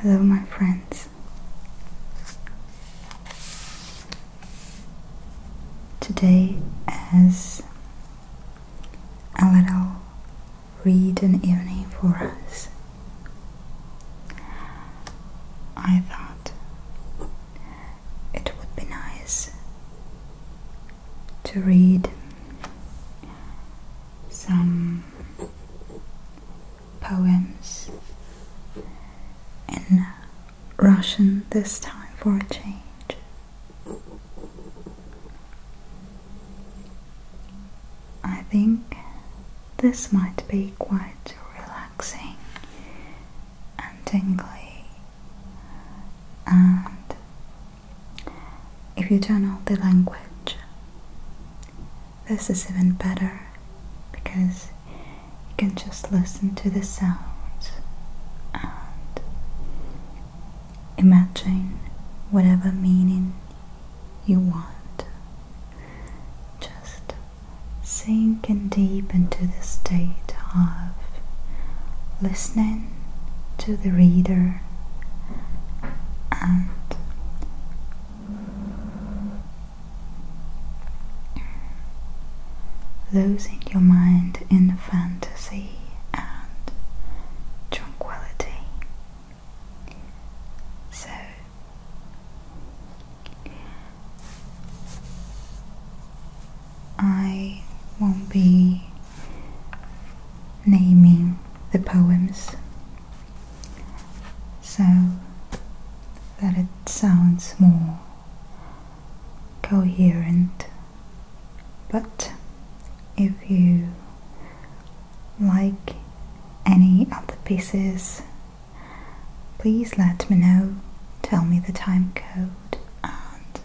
Hello, my friends. Today, as a little read an evening for us, I thought it would be nice to read some poems in Russian this time for a change. I think this might be quite relaxing and tingly and if you don't know the language, this is even better because you can just listen to the sounds and imagine whatever meaning you want. Just sink and deep into the state of listening to the reader and losing your mind in fantasy and tranquility. So, I won't be naming the poems so that it sounds more coherent, but if you like any of the pieces Please let me know, tell me the time code, and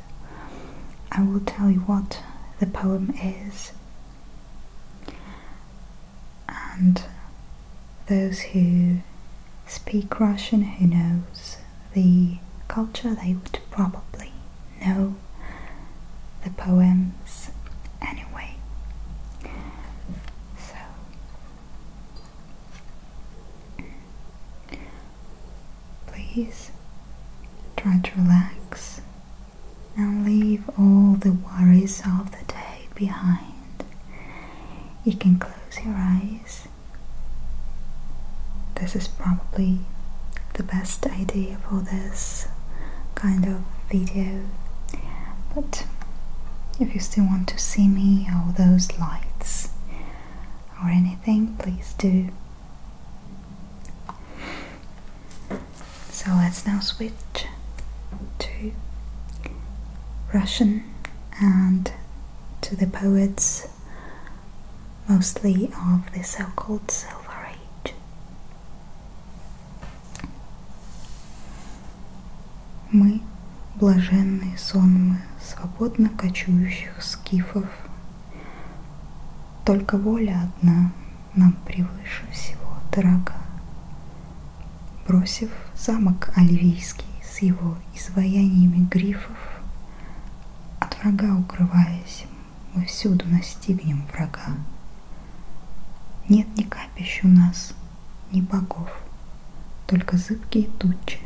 I will tell you what the poem is. And those who speak Russian, who knows the culture, they would probably know the poems anyway. So Please try to relax and leave all the worries of the day behind. You can close your eyes. This is probably the best idea for this kind of video. But if you still want to see me all those lights, or anything, please do. So let's now switch to Russian and to the poets mostly of the so-called Silver Age. Мы — блаженные сонмы свободно кочующих скифов. Только воля одна нам превыше всего дорога. Бросив замок Оливийский с его изваяниями грифов, От врага укрываясь, мы всюду настигнем врага. Нет ни капищ у нас — ни богов, только зыбкие тучи.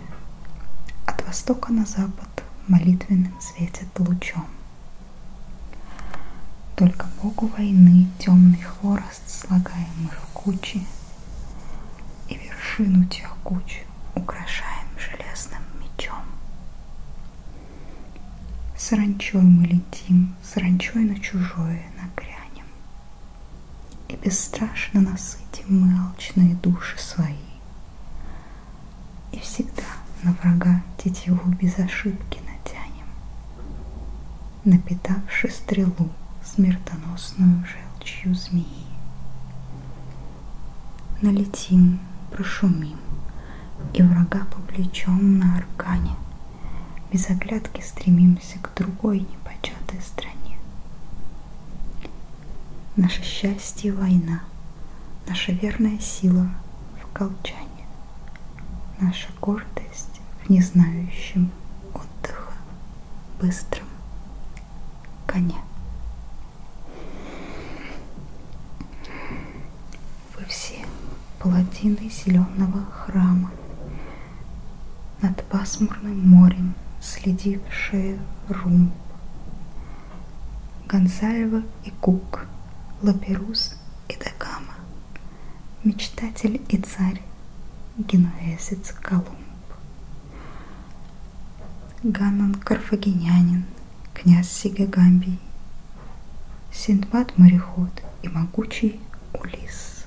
От востока на запад молитвенным светит лучом. Только богу войны темный хворост слагаем мы в кучи, И вершину тех куч украшаем железным мечом. Саранчой мы летим, саранчой на чужое нагрянем, и бесстрашно насытим мы алчные души свои. И всегда на врага тетиву без ошибки натянем, Напитавши стрелу смертоносную желчью змеи. Налетим, прошумим, и врага по плечом на аркане, Без оглядки стремим направляемся к другой непочатой стране. Наше счастье – война, наша верная сила – в колчане, наша гордость в незнающем отдыха быстром коне. Вы все паладины зеленого храма, над пасмурным морем, следив шею румб. Гонсальва и Кук, Лаперус и Дагама, Мечтатель и царь, генуэзец Колумб. Ганнон Карфагенянин, князь Сигагамбий, Синдбад мореход и могучий Улис.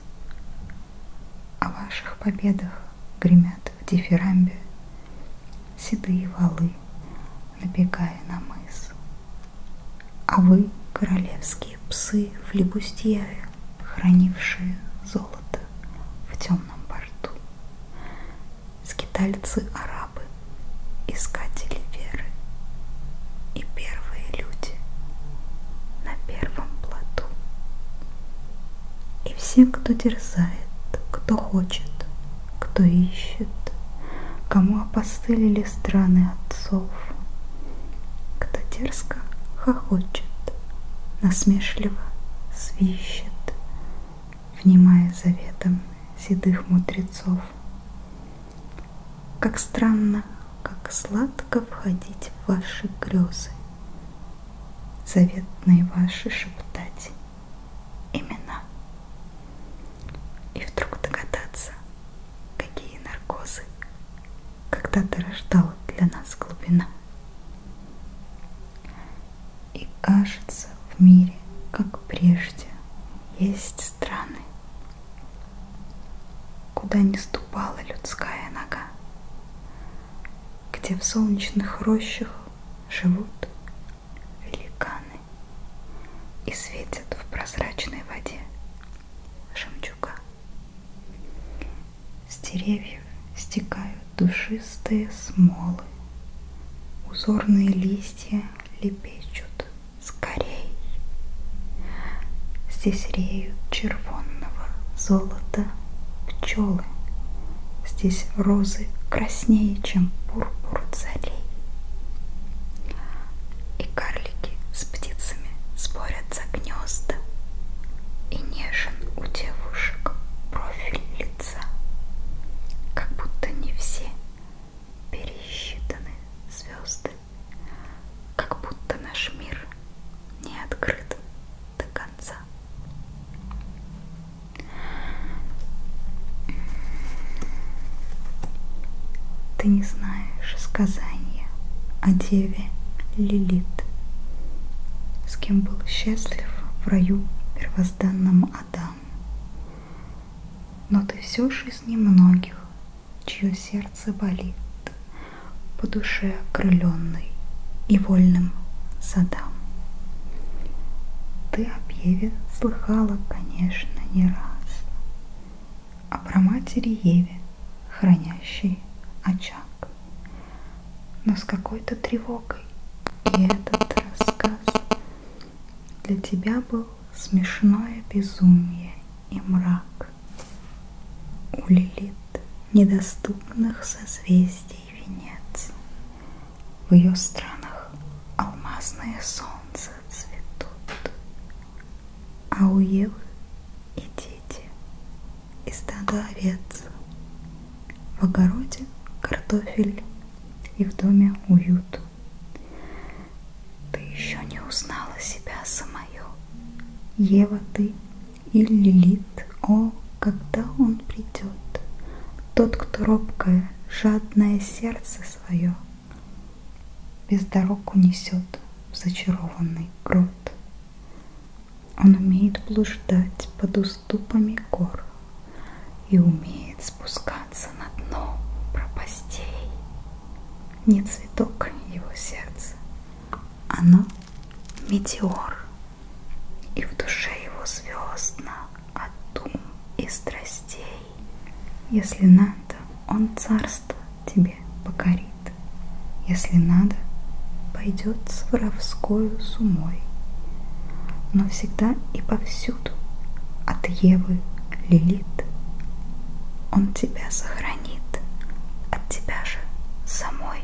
О ваших победах гремят в дифирамбе Седые валы, набегая на мыс. А вы, королевские псы флебустьеры, Хранившие золото в темном борту, Скитальцы-арабы, искатели веры И первые люди на первом плоту. И все, кто дерзает, кто хочет, кто ищет, кому опостылили страны отцов, кто дерзко хохочет, насмешливо свищет, внимая заветом седых мудрецов. Как странно как сладко входить в ваши грезы, заветные ваши шептать имена. И вдруг догадаться, какие наркозы когда-то рождала для нас глубина. И кажется, в мире, как прежде, есть страны, Куда не ступала людская нога, Где в солнечных рощах живут великаны И светят в прозрачной воде жемчуга. С деревьев стекают душистые смолы, Узорные листья лепечут с полей. Здесь реют червонного золота пчелы, Здесь розы краснее, чем пурпур царей. И карлики с птицами спорят за гнезда, И нежен у девушек профиль лица, Как будто не все пересчитаны звезды как будто наш мир не открыт до конца. Ты не знаешь сказания о деве Лилит, с кем был счастлив в раю первозданном Адам. Но ты все же из немногих, чье сердце болит по душе окрыленной и вольным садам. Ты о Еве слыхала, конечно, не раз, а про матери Еве, хранящей очаг. Но с какой-то тревогой и этот рассказ для тебя был смешное безумие и мрак. У Лилит недоступных созвездий венец. В ее странах алмазные солнца цветут, а у Евы и дети и стадо овец. В огороде картофель и в доме уют. Ты еще не узнала себя самую. Ева, ты и Лилит. О, когда он придет, тот, кто робкое, жадное сердце свое, без дорог унесет в зачарованный грот. Он умеет блуждать под уступами гор и умеет спускаться на дно пропастей. Не цветок его сердце, оно метеор, и в душе его звездно от дум и страстей. Если надо, он царство тебе покорит, если надо, пойдет с воровскою сумой. Но всегда и повсюду от Евы Лилит он тебя сохранит фонит от тебя же самой.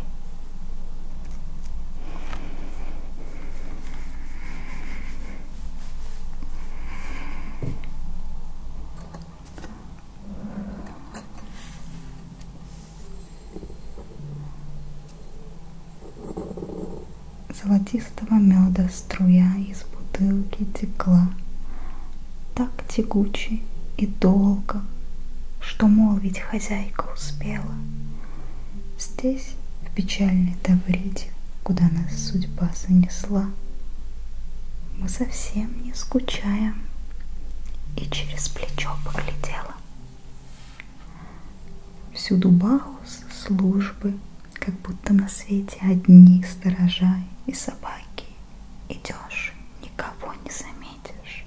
Золотистого меда Струя из бутылки текла, Так тягуче и долго, Что молвить хозяйка успела. Здесь, в печальной Тавриде, Куда нас судьба занесла, Мы совсем не скучаем, И через плечо поглядела. Всюду Бахус службы — как будто на свете одни сторожа и собаки. Идешь, никого не заметишь.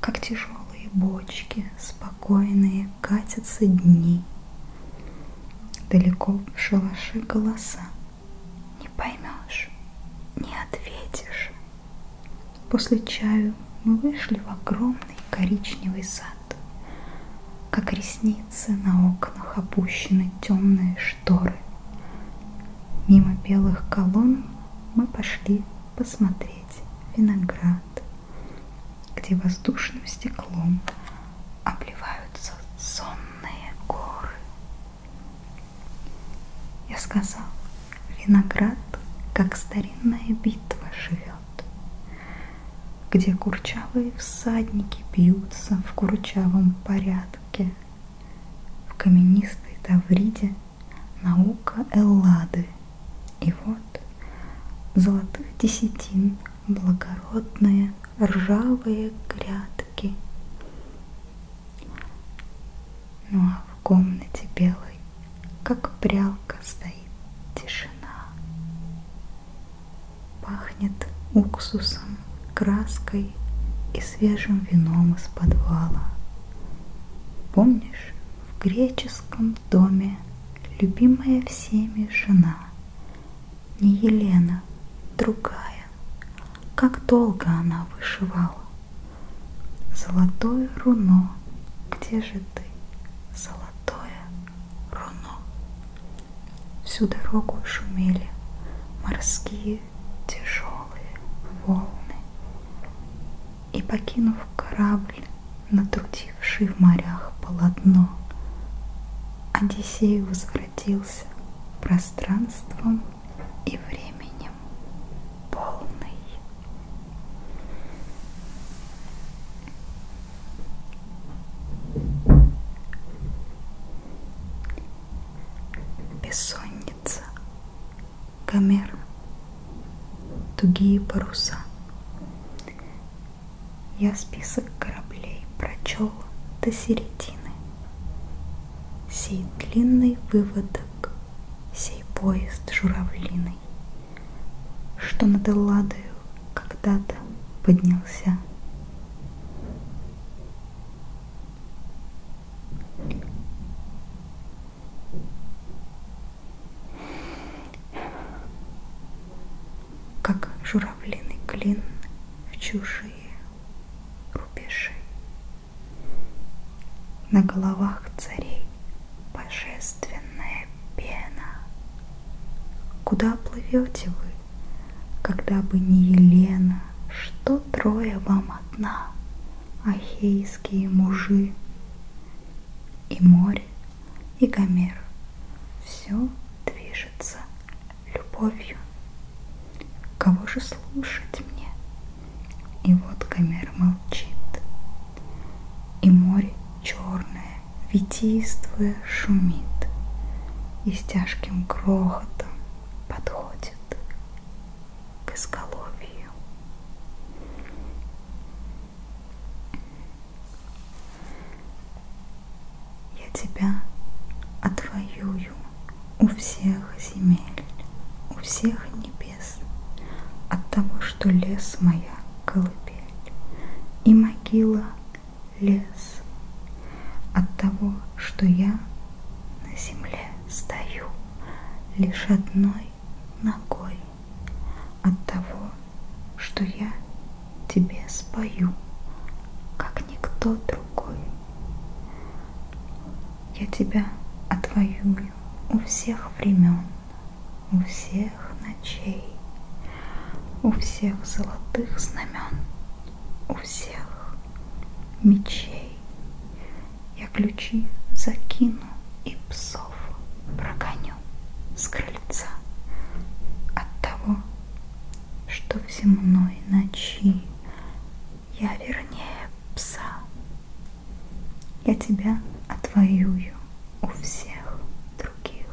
Как тяжелые бочки, спокойные катятся дни. Далеко в шалаше голоса. Не поймешь, не ответишь. После чаю мы вышли в огромный коричневый сад. Как ресницы на окнах опущены темные шторы. Мимо белых колонн мы пошли посмотреть виноград, где воздушным стеклом обливаются сонные горы. Я сказал, виноград, как старинная битва, живет где курчавые всадники бьются в курчавом порядке. В каменистой Тавриде наука Эллады. И вот золотых десятин благородные ржавые грядки. Ну а в комнате белой, как прялка, стоит тишина. Пахнет уксусом, краской и свежим вином из подвала. Помнишь, в греческом доме любимая всеми жена, не Елена, другая, как долго она вышивала. Золотое руно, где же ты, золотое Руно. Всю дорогу шумели морские тяжелые волны. И покинув корабль, натрудивший в морях полотно, Одиссей возвратился пространством и временем полный. Бессонница, камер, тугие паруса. Я список кораблей прочел до середины. Сей длинный выводок, сей поезд журавлиный, Что над Элладою когда-то поднялся как журавлиный клин в чужие рубежи. На головах царей божественная пена. Куда плывете вы? Когда бы не Елена, что трое вам одна, Ахейские мужи, И море, и Гомер, Все движется любовью. Кого же слушать мне? И вот Гомер молчит, И море черное, витийствуя шумит и с тяжким грохотом подходит к изголовью. Я тебя отвоюю у всех земель, у всех небес, от того, что лес моя колыбель и могила лес от того, что я на земле стою лишь одной ногой, от того, что я тебе спою, как никто другой. Я тебя отвоюю у всех времен, у всех белых ночей, у всех золотых знамен, у всех мечей. Я ключи закину и псов прогоню с крыльца от того, что в земной ночи я вернее пса. Я тебя отвоюю у всех других,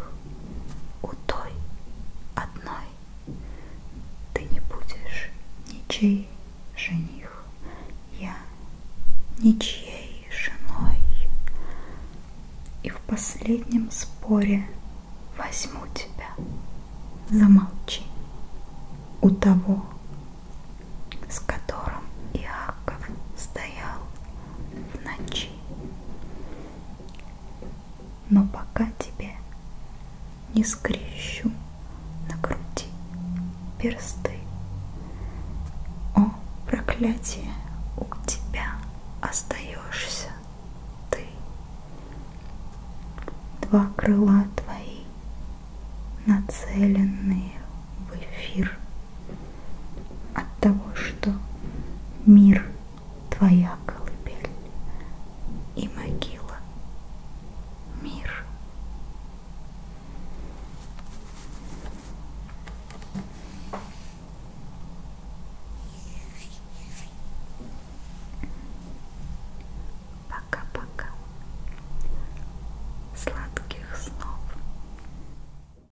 у той одной ты не будешь ничей жених, я ничьей женой. И в последнем споре возьму тебя, замолчи, у того, с которым Иаков стоял в ночи. Но пока тебя не скрещу на груди персты, О, проклятие, у тебя остаешься ты. Два крыла твои нацеленные в эфир от того, что мир твоя колыбель и могила мир. Пока-пока. Сладких снов.